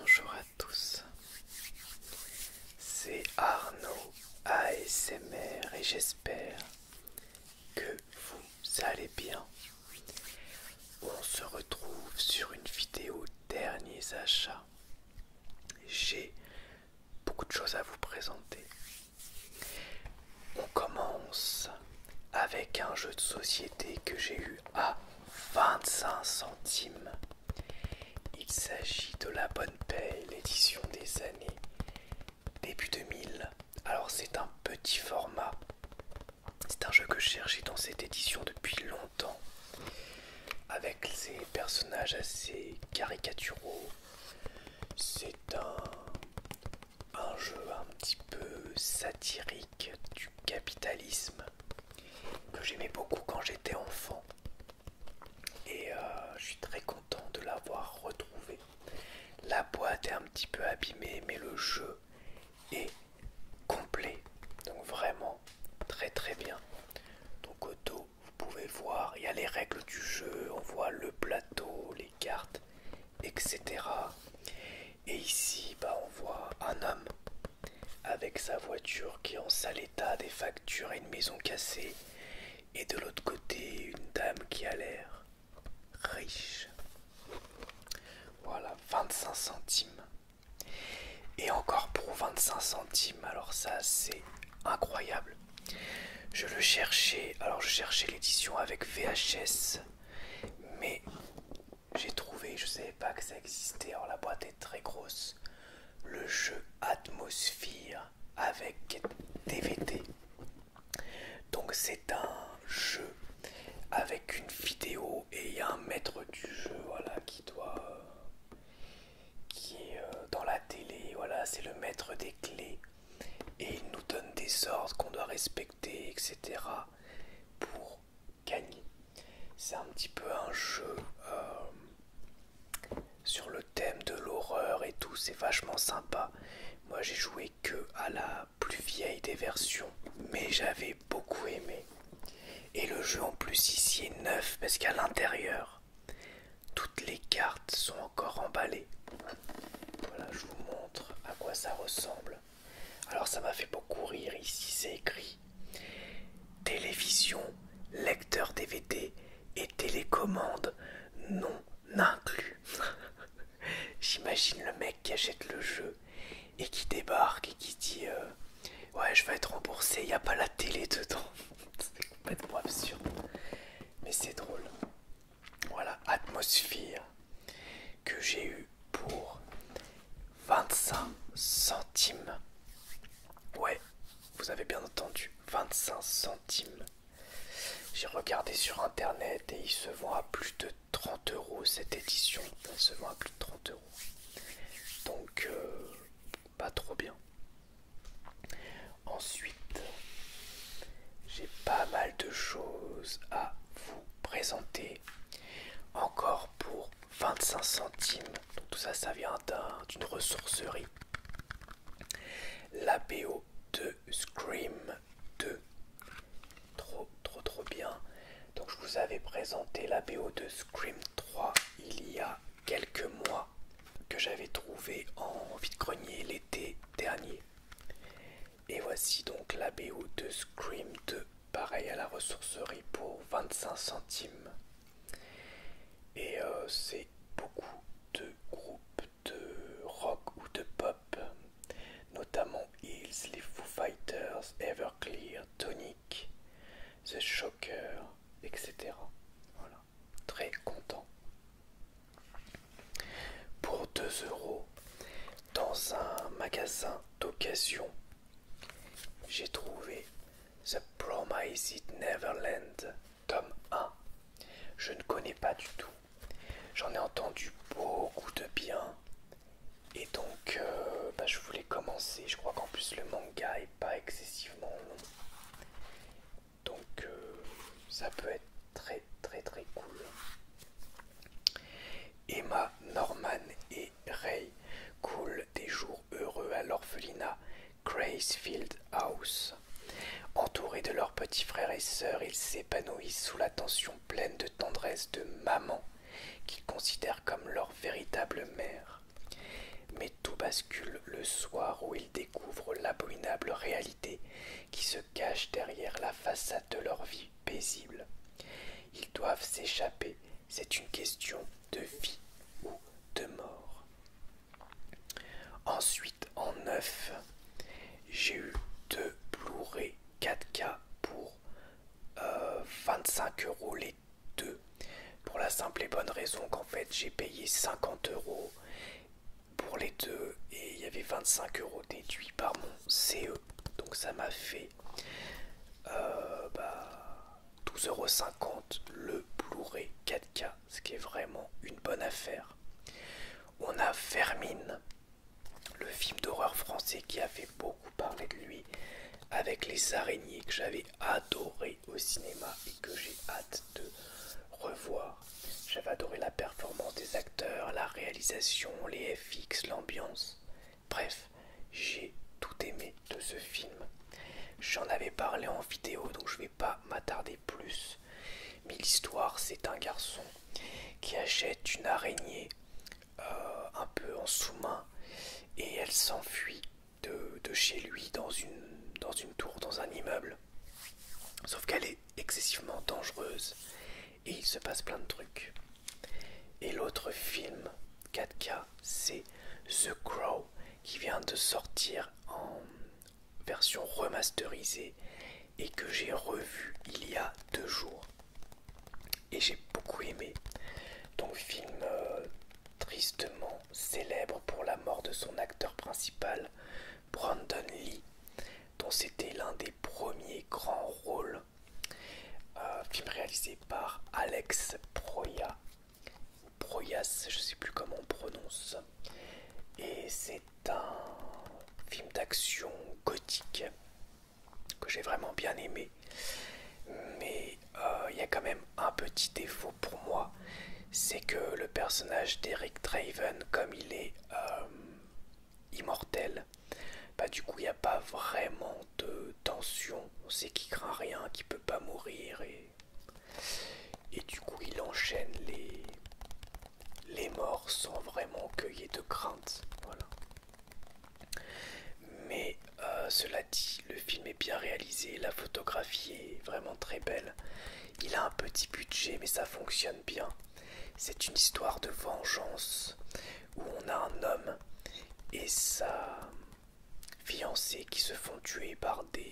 Bonjour à tous, c'est Arnaud ASMR et j'espère que vous allez bien. On se retrouve sur une vidéo derniers achats. J'ai beaucoup de choses à vous présenter. On commence avec un jeu de société que j'ai eu à 25 centimes. Il s'agit de La Bonne Paix, l'édition des années début 2000. Alors c'est un petit format. C'est un jeu que je cherchais dans cette édition depuis longtemps. Avec ses personnages assez caricaturaux, c'est un, jeu un petit peu satirique du capitalisme que j'aimais beaucoup quand j'étais enfant et euh, je suis très content de l'avoir retrouvé. La boîte est un petit peu abîmée mais le jeu est complet donc vraiment très très bien. Donc auto vous pouvez voir, il y a les règles du jeu, on voit le plateau, les cartes, etc. Et ici, bah, on voit un homme avec sa voiture qui est en sale état, des factures et une maison cassée. Et de l'autre côté, une dame qui a l'air riche. Voilà, 25 centimes. Et encore pour 25 centimes, alors ça c'est incroyable. Je le cherchais, alors je cherchais l'édition avec VHS, mais j'ai trouvé, je ne savais pas que ça existait, alors la boîte est très grosse, le jeu Atmosphere avec DVD. Donc c'est un jeu avec une vidéo et il y a un maître du jeu voilà, qui doit qui est euh, dans la télé, voilà, c'est le maître des clés. Et il nous donne des ordres qu'on doit respecter, etc. pour gagner. C'est un petit peu un jeu euh, sur le thème de l'horreur et tout, c'est vachement sympa. Moi j'ai joué que à la plus vieille des versions, mais j'avais beaucoup aimé. Et le jeu en plus ici est neuf parce qu'à l'intérieur, toutes les cartes sont encore emballées. Voilà, je vous montre à quoi ça ressemble. Alors ça m'a fait beaucoup rire, ici c'est écrit télévision, lecteur DVD et télécommande non inclus. J'imagine le mec qui achète le jeu et qui débarque et qui dit euh, ouais je vais être remboursé, il n'y a pas la télé dedans. c'est complètement absurde mais c'est drôle. Voilà, atmosphère que j'ai eu pour 25 centimes. Ouais, vous avez bien entendu, 25 centimes. J'ai regardé sur internet et il se vend à plus de 30 euros cette édition. il se vend à plus de 30 euros. Donc, euh, pas trop bien. Ensuite, j'ai pas mal de choses à vous présenter. Encore pour 25 centimes. Donc tout ça, ça vient d'une ressourcerie. La BO de Scream 2. Trop, trop, trop bien. Donc je vous avais présenté la BO de Scream 3 il y a quelques mois que j'avais trouvé en vide-grenier l'été dernier. Et voici donc la BO de Scream 2, pareil à la ressourcerie pour 25 centimes. Et euh, c'est beaucoup de groupes de rock ou de pop, notamment Hills, les Foo Fighters, Everclear, Tonic, The Shocker, etc. Voilà très content. Pour 2 euros, dans un magasin d'occasion, j'ai trouvé The Promised Neverland, tome 1. Je ne connais pas du tout. J'en ai entendu beaucoup de bien. Et donc, euh, bah, je voulais commencer. Je crois qu'en plus, le manga est pas excessivement long donc euh, ça peut être très très très cool. Emma, Norman et Ray coulent des jours heureux à l'orphelinat Gracefield House. Entourés de leurs petits frères et sœurs, ils s'épanouissent sous l'attention pleine de tendresse de maman qu'ils considèrent comme leur véritable mère tout bascule le soir où ils découvrent l'abominable réalité qui se cache derrière la façade de leur vie paisible. Ils doivent s'échapper, c'est une question de vie ou de mort. Ensuite, en neuf, j'ai eu deux Blu-ray 4K pour 25 euh, euros les deux, pour la simple et bonne raison qu'en fait j'ai payé 50 euros pour les deux et il y avait 25 euros déduits par mon CE. Donc ça m'a fait euh, bah, euros 12,50€ le Blu-ray 4K, ce qui est vraiment une bonne affaire. On a Fermine, le film d'horreur français qui avait beaucoup parlé de lui, avec les araignées que j'avais adoré au cinéma et que j'ai hâte de revoir. J'avais adoré la performance des acteurs, la réalisation, les FX, l'ambiance. Bref, j'ai tout aimé de ce film. J'en avais parlé en vidéo, donc je ne vais pas m'attarder plus. Mais l'histoire, c'est un garçon qui achète une araignée euh, un peu en sous-main et elle s'enfuit de, chez lui dans une tour, dans un immeuble. Sauf qu'elle est excessivement dangereuse et il se passe plein de trucs. Et l'autre film 4K, c'est The Crow qui vient de sortir en version remasterisée et que j'ai revu il y a deux jours. Et j'ai beaucoup aimé. Donc film euh, tristement célèbre pour la mort de son acteur principal Brandon Lee, dont c'était l'un des premiers grands rôles. Euh, film réalisé par Alex Proya. Proyas, je sais plus comment on prononce. Et c'est un film d'action gothique que j'ai vraiment bien aimé. Mais euh, il y a quand même un petit défaut pour moi, c'est que le personnage d'Eric Draven, comme il est euh, immortel, bah du coup il n'y a pas vraiment de tension. On sait qu'il craint rien, qu'il peut pas mourir et, du coup il enchaîne les, les morts sans vraiment qu'il de crainte. Voilà. Mais euh, cela dit, le film est bien réalisé, la photographie est vraiment très belle il a un petit budget, mais ça fonctionne bien. C'est une histoire de vengeance où on a un homme et sa fiancée qui se font tuer par des,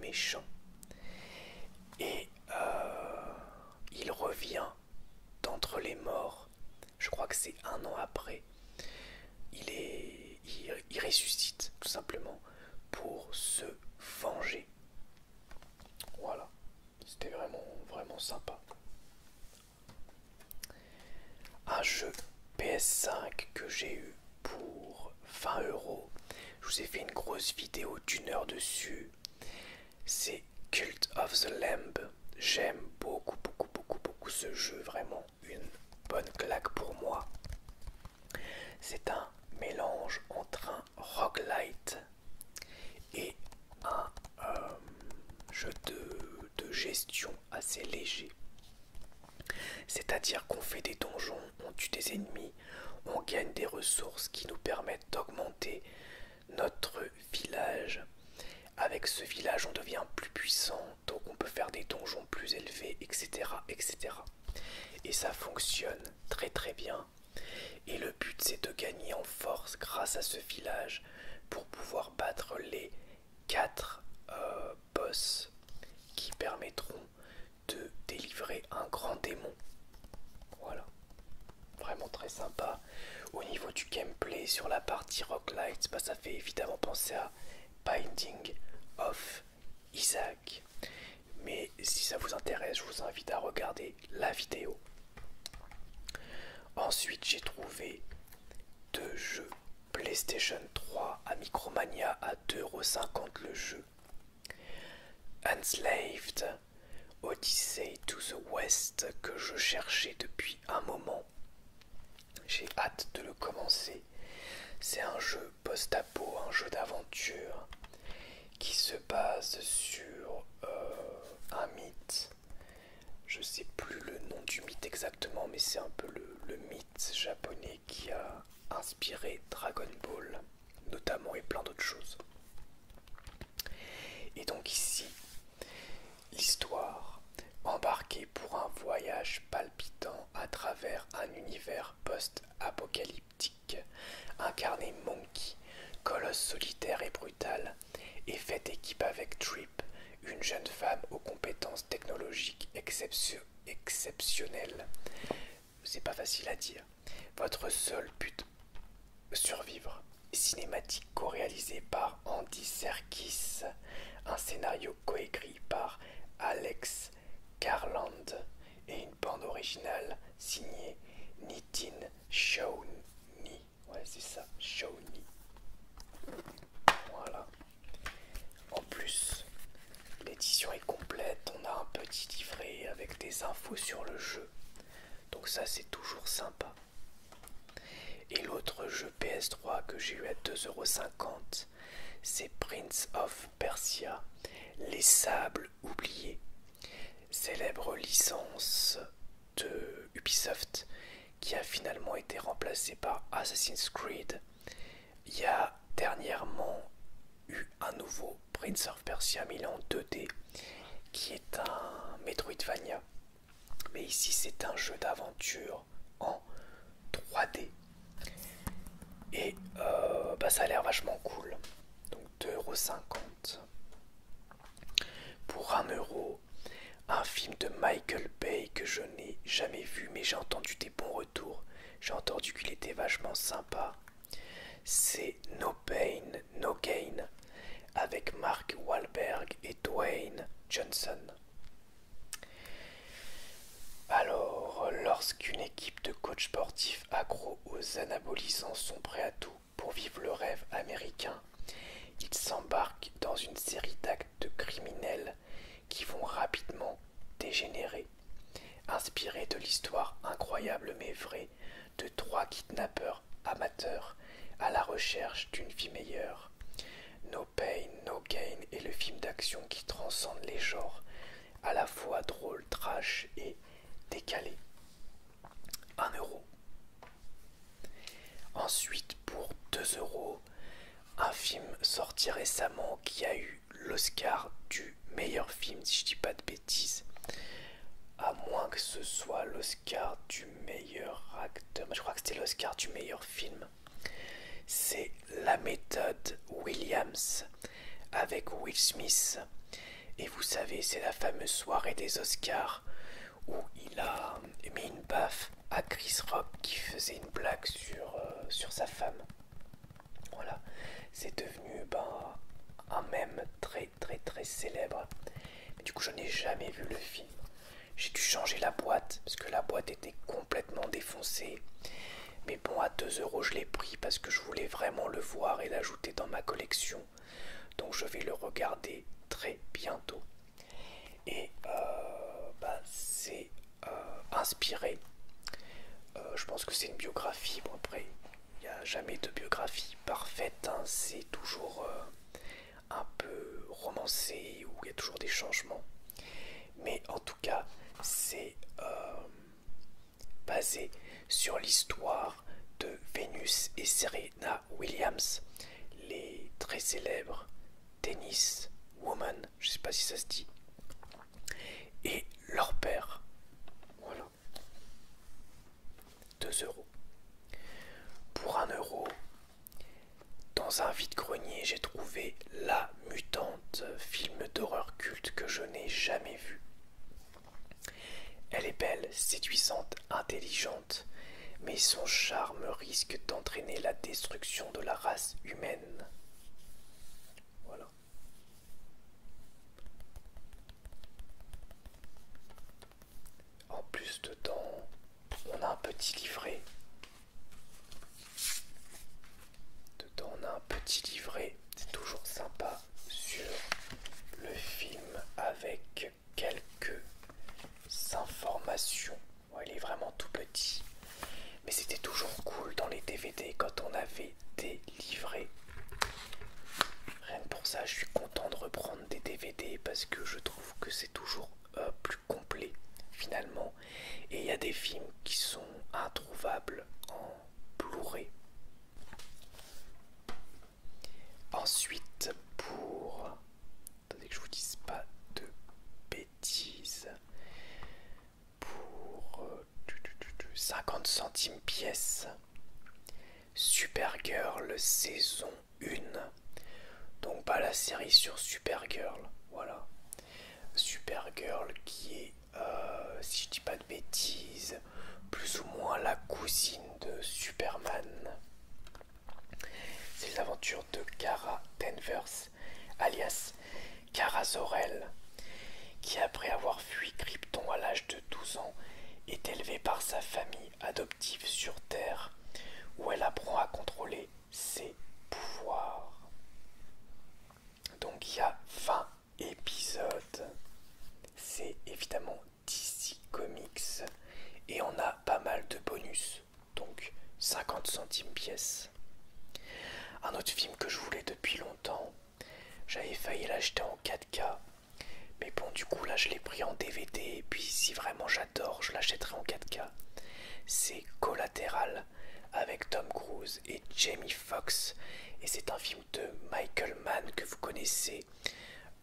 méchants. Et euh, il revient d'entre les morts. Je crois que c'est un an après. il ressuscite tout simplement pour se venger. Voilà, c'était vraiment, vraiment sympa. Un jeu PS5 que j'ai eu pour 20 euros. Je vous ai fait une grosse vidéo d'une heure dessus. C'est Cult of the Lamb. J'aime beaucoup, beaucoup, beaucoup, beaucoup ce jeu. Vraiment une bonne claque pour moi. C'est un mélange entre un roguelite et un euh, jeu de, gestion assez léger. C'est-à-dire qu'on fait des donjons, on tue des ennemis, on gagne des ressources qui nous permettent d'augmenter notre village. Avec ce village, on devient plus puissant, donc on peut faire des donjons plus élevés, etc. etc. Et ça fonctionne très très bien. Et le but c'est de gagner en force grâce à ce village pour pouvoir battre les 4 euh, boss qui permettront de délivrer un grand démon. Voilà. Vraiment très sympa. Au niveau du gameplay sur la partie Rock Lights, bah, ça fait évidemment penser à Binding of Isaac. Mais si ça vous intéresse, je vous invite à regarder la vidéo. Ensuite, j'ai trouvé deux jeux PlayStation 3 à Micromania à 2,50€ le jeu. Enslaved, Odyssey to the West que je cherchais depuis un moment. J'ai hâte de le commencer. C'est un jeu post-apo, un jeu d'aventure qui se base sur euh, un mythe. Je sais plus le nom du mythe exactement, mais c'est un peu le, le mythe japonais qui a inspiré Dragon Ball, notamment et plein d'autres choses. Et donc ici, l'histoire embarquée pour un voyage palpitant à travers un univers post-apocalyptique incarné Monkey, colosse solitaire et brutal, et fait équipe avec Trip, une jeune femme aux compétences technologiques exceptionnelles. C'est pas facile à dire. Votre seul but, survivre. Cinématique co-réalisée par Andy Serkis, un scénario co écrit par Alex Garland et bande originale signée Nitin Shauni. Ouais, c'est ça, ni Voilà. En plus, l'édition est complète. On a un petit livret avec des infos sur le jeu. Donc ça, c'est toujours sympa. Et l'autre jeu PS3 que j'ai eu à 2,50€, c'est Prince of Persia, les sables oubliés, célèbre licence de Ubisoft qui a finalement été remplacée par Assassin's Creed. Il y a dernièrement eu un nouveau Prince of Persia mais il est en 2D qui est un Metroidvania. Mais ici c'est un jeu d'aventure en 3D. Et euh, bah, ça a l'air vachement cool. 2,50€. Pour 1€ euro, un film de Michael Bay que je n'ai jamais vu, mais j'ai entendu des bons retours. J'ai entendu qu'il était vachement sympa. C'est No Pain, No Gain avec Mark Wahlberg et Dwayne Johnson. Alors, lorsqu'une équipe de coachs sportifs agro aux anabolisants sont prêts à tout pour vivre le rêve américain. Ils s'embarquent dans une série d'actes criminels qui vont rapidement dégénérer. inspirés de l'histoire incroyable mais vraie de trois kidnappeurs amateurs à la recherche d'une vie meilleure. No Pain, No Gain est le film d'action qui transcende les genres, à la fois drôle, trash et décalé 1 euro. Ensuite, pour 2 euros, un film sorti récemment qui a eu l'Oscar du meilleur film, si je dis pas de bêtises, à moins que ce soit l'Oscar du meilleur acteur, je crois que c'était l'Oscar du meilleur film. C'est la méthode Williams avec Will Smith et vous savez, c'est la fameuse soirée des Oscars où il a mis une baffe à Chris Rock qui faisait une blague sur, euh, sa femme. Voilà, c'est devenu ben, un même très très très célèbre. du coup, je n'ai jamais vu le film. J'ai dû changer la boîte parce que la boîte était complètement défoncée. Mais bon, à 2 euros, je l'ai pris parce que je voulais vraiment le voir et l'ajouter dans ma collection. Donc je vais le regarder très bientôt. Et euh, bah, c'est euh, inspiré. Euh, je pense que c'est une biographie. Bon, après, il n'y a jamais de biographie parfaite. Hein. C'est toujours un peu romancé où il y a toujours des changements. Mais en tout cas, c'est Basé sur l'histoire de Vénus et Serena Williams, les très célèbres Tennis Woman, je ne sais pas si ça se dit, et leur père. Voilà. Deux euros. Pour un euro, dans un vide-grenier, j'ai trouvé La Mutante, film d'horreur culte que je n'ai jamais vu. Elle est belle, séduisante, intelligente, mais son charme risque d'entraîner la destruction de la race humaine. Voilà. En plus de temps, on a un petit livret dans un petit livret, c'est toujours sympa, sur le film avec quelques informations. il est vraiment tout petit. Mais c'était toujours cool dans les DVD quand on avait des livrets. Rien que pour ça, je suis content de reprendre des DVD parce que je trouve que c'est toujours euh, plus complet finalement. Et il y a des films qui sont introuvables en Blu-ray. Ensuite, pour. Attendez que je vous dise pas de bêtises. Pour 50 euh, centimes pièce, Girl saison 1. Donc, pas la série sur Super Girl, Voilà. Super Girl qui est euh, si je dis pas de bêtises, plus ou moins la cousine de Superman. C'est l'aventure de Kara Danvers, alias Kara Sorel qui après avoir fui Krypton à l'âge de 12 ans est élevée par sa famille adoptive sur Terre, où elle apprend à contrôler ses pouvoirs. Donc il y a 20 épisode. C'est évidemment DC Comics et on a pas mal de bonus, donc 50 centimes pièce. Un autre film que je voulais depuis longtemps, j'avais failli l'acheter en 4K, mais bon, du coup, là je l'ai pris en DVD et puis si vraiment j'adore, je l'achèterai en 4K. C'est Collatéral avec Tom Cruise et Jamie Foxx et c'est un film de Michael Mann que vous connaissez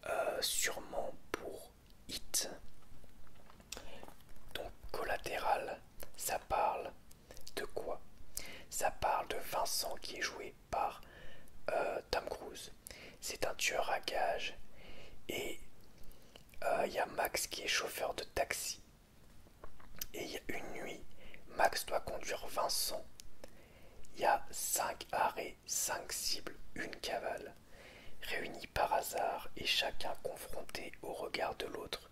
euh, sûrement pour Hit. Donc collatéral, ça parle de quoi Ça parle de Vincent qui est joué par euh, Tom Cruise. C'est un tueur à gages et euh, il y a Max qui est chauffeur de taxi. Et il y a une nuit, Max doit conduire Vincent il y a cinq arrêts, cinq cibles, une cavale, réunis par hasard et chacun confronté au regard de l'autre.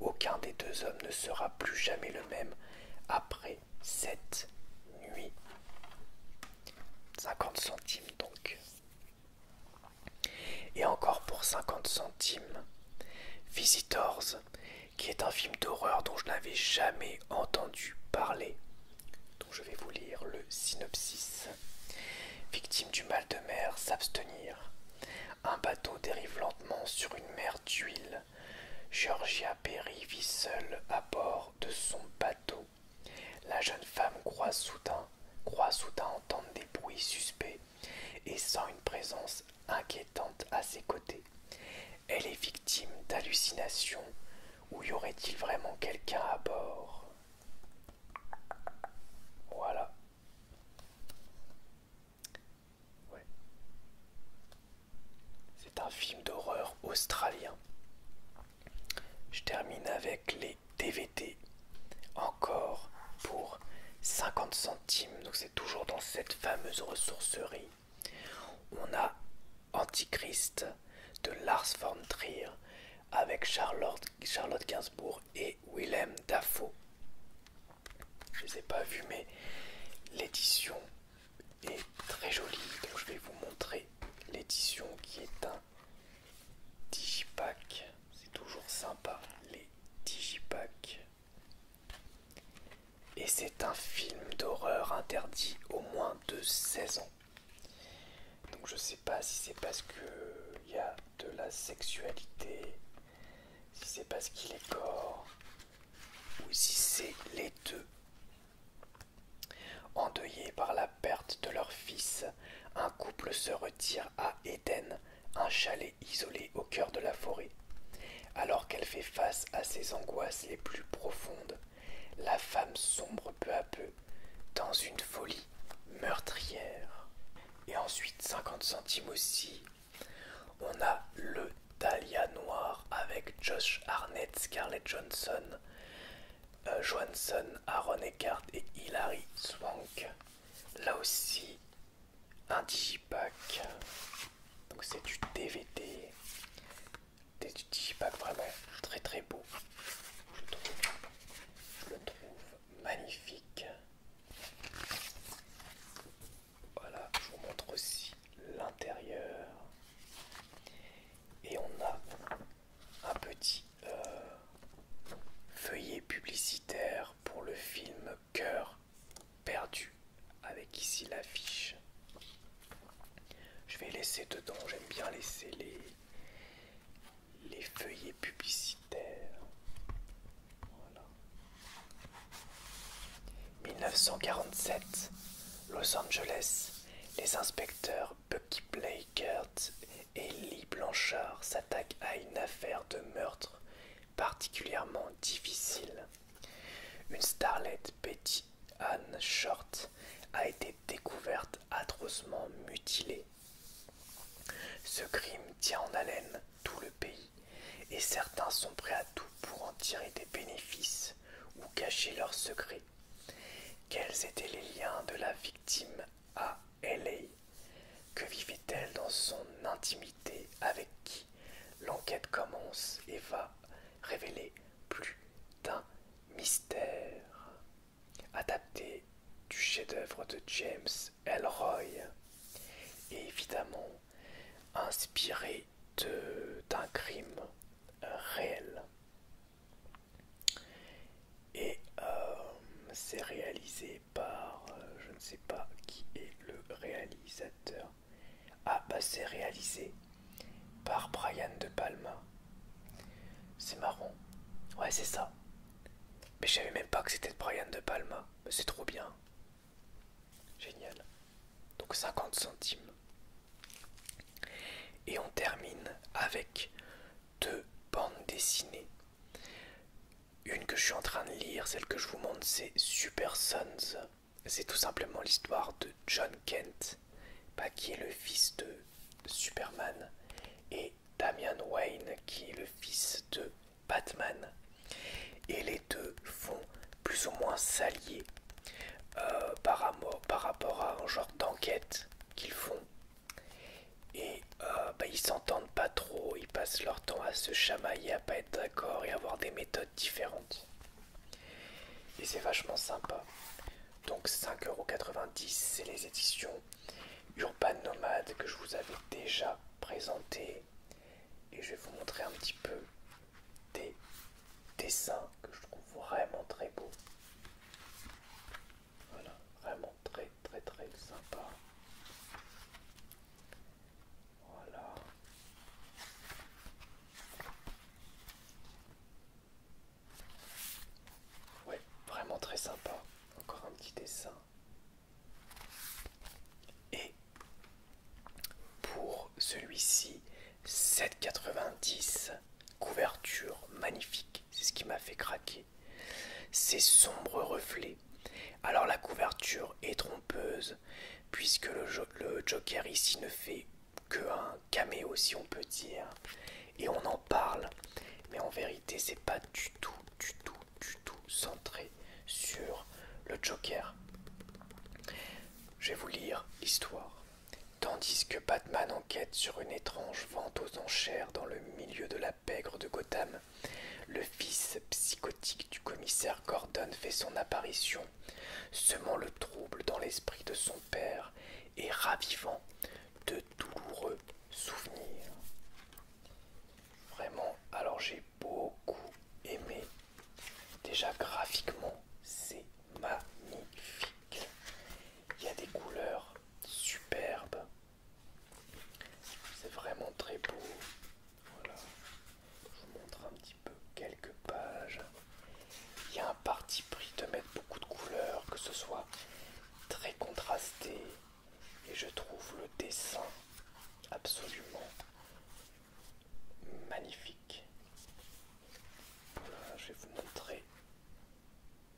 Aucun des deux hommes ne sera plus jamais le même après cette nuit. 50 centimes donc. Et encore pour 50 centimes, Visitors qui est un film d'horreur dont je n'avais jamais entendu parler. Donc je vais vous lire le synopsis. Victime du mal de mer, s'abstenir. Un bateau dérive lentement sur une mer d'huile. Georgia Perry vit seule à bord de son bateau. La jeune femme croit soudain, croit soudain entendre des bruits suspects et sent une présence inquiétante à ses côtés. Elle est victime d'hallucinations ou y aurait-il vraiment quelqu'un à bord Voilà. C'est un film d'horreur australien. Je termine avec les dvd Encore pour 50 centimes. Donc c'est toujours dans cette fameuse ressourcerie. On a Antichrist de Lars von Trier avec Charlotte, Gainsbourg et Willem Dafoe. Je ne les ai pas vus, mais l'édition est très jolie. Donc je vais vous montrer l'édition qui est un digipack. C'est toujours sympa les digipacks et c'est un film d'horreur interdit au moins de 16 ans. Donc je sais pas si c'est parce qu'il y a de la sexualité, si c'est parce qu'il est corps, ou si c'est les deux. Endeuillés par la perte de leur fils, un couple se retire à Éden, un chalet isolé au cœur de la forêt. Alors qu'elle fait face à ses angoisses les plus profondes, la femme sombre peu à peu dans une folie meurtrière. Et ensuite 50 centimes aussi. On a le Dahlia noir avec Josh Arnett, Scarlett Johnson, euh, Johansson, Aaron Eckhart et Hilary Swank. Là aussi, un digipack. Donc c'est du DVD des pas vraiment très très beaux. Je, trouve, je le trouve magnifique. Voilà, je vous montre aussi l'intérieur. Et on a un petit euh, feuillet publicitaire pour le film Cœur perdu avec ici l'affiche. Je vais laisser dedans, j'aime bien laisser les, les feuillets publicitaires. 1947, Los Angeles, les inspecteurs Bucky Kurt et Lee Blanchard s'attaquent à une affaire de meurtre particulièrement difficile. Une starlette, Betty Ann Short, a été découverte atrocement mutilée. Ce crime tient en haleine tout le pays et certains sont prêts à tout pour en tirer des bénéfices ou cacher leurs secrets. Quels étaient les liens de la victime à LA Que vivait-elle dans son intimité Avec qui L'enquête commence et va révéler plus d'un mystère. Adapté du chef-d'œuvre de James Elroy et évidemment inspiré d'un crime euh, réel. Et euh, c'est réalisé par, euh, je ne sais pas qui est le réalisateur, à ah, bah réalisé par Brian De Palma. C'est marrant. Ouais, c'est ça. Mais je savais même pas que c'était de Brian De Palma. mais bah, C'est trop bien. Génial. Donc 50 centimes. Et on termine avec deux bandes dessinées. Une que je suis en train de lire, celle que je vous montre, c'est Super Sons c'est tout simplement l'histoire de John Kent, bah, qui est le fils de Superman, et Damian Wayne, qui est le fils de Batman. Et les deux font plus ou moins s'allier euh, par, rapport à un genre d'enquête qu'ils font. Et euh, bah, ils s'entendent pas trop, ils passent leur temps à se chamailler, à pas être d'accord et à avoir des méthodes différentes. Et c'est vachement sympa. Donc 5,90€, c'est les éditions Urban Nomade que je vous avais déjà présenté Et je vais vous montrer un petit peu des dessins que je trouve vraiment très beau Voilà, vraiment très très très sympa. Voilà. Ouais, vraiment très sympa. Encore un petit dessin. Et pour celui-ci, 7,90. Couverture magnifique. C'est ce qui m'a fait craquer. Ces sombres reflets. Alors la couverture est trompeuse puisque le, le Joker ici ne fait que un caméo si on peut dire et on en parle mais en vérité c'est pas du tout du tout du tout centré sur le Joker. Je vais vous lire l'histoire. Tandis que Batman enquête sur une étrange vente aux enchères dans le milieu de la pègre de Gotham, le fils psychotique du commissaire Gordon fait son apparition, semant le trouble dans l'esprit de son père et ravivant de douloureux souvenirs. Vraiment, alors j'ai beaucoup aimé. Déjà graphiquement, c'est magnifique. Il y a des couleurs superbes. C'est vraiment très beau. Voilà. Je vous montre un petit peu quelques pages. Il y a un parti pris de mettre beaucoup de couleurs, que ce soit très contrasté, et je trouve le dessin absolument magnifique. Euh, je vais vous montrer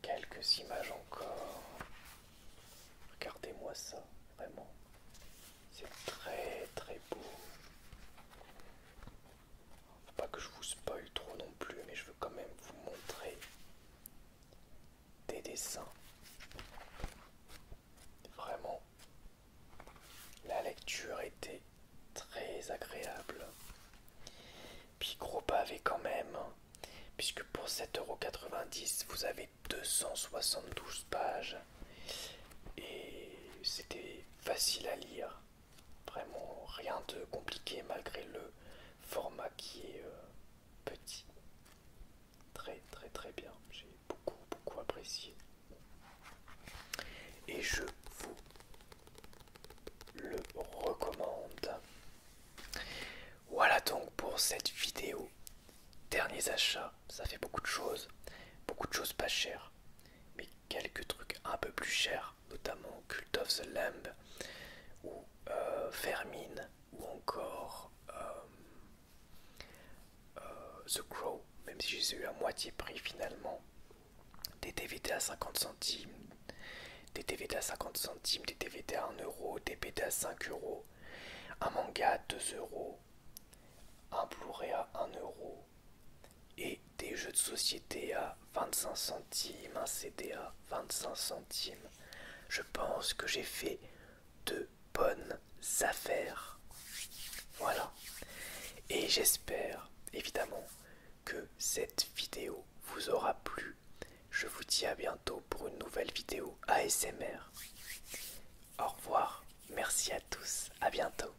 quelques images encore. Regardez-moi ça, vraiment. C'est très très beau. Faut pas que je vous spoil trop non plus, mais je veux quand même vous montrer des dessins. Vraiment, la lecture était très agréable. Puis gros pavé quand même, puisque pour 7,90€, vous avez 272 pages. Et c'était facile à lire. Vraiment rien de compliqué malgré le format qui est euh, petit. Très très très bien. J'ai beaucoup beaucoup apprécié. Et je vous le recommande. Voilà donc pour cette vidéo. Derniers achats, ça fait beaucoup de choses, beaucoup de choses pas chères, mais quelques trucs un peu plus chers notamment Cult of the Lamb ou Fermin, euh, ou encore euh, euh, The Crow, même si j'ai eu à moitié prix finalement, des DVD à 50 centimes, des DVD à 50 centimes, des DVD à 5€, des un manga à 2€, un Blu-ray à 1€ et des jeux de société à 25 centimes, un CD à 25 centimes. Je pense que j'ai fait de bonnes affaires. Voilà. Et j'espère évidemment que cette vidéo vous aura plu. Je vous dis à bientôt pour une nouvelle vidéo ASMR. Au revoir, merci à tous, à bientôt.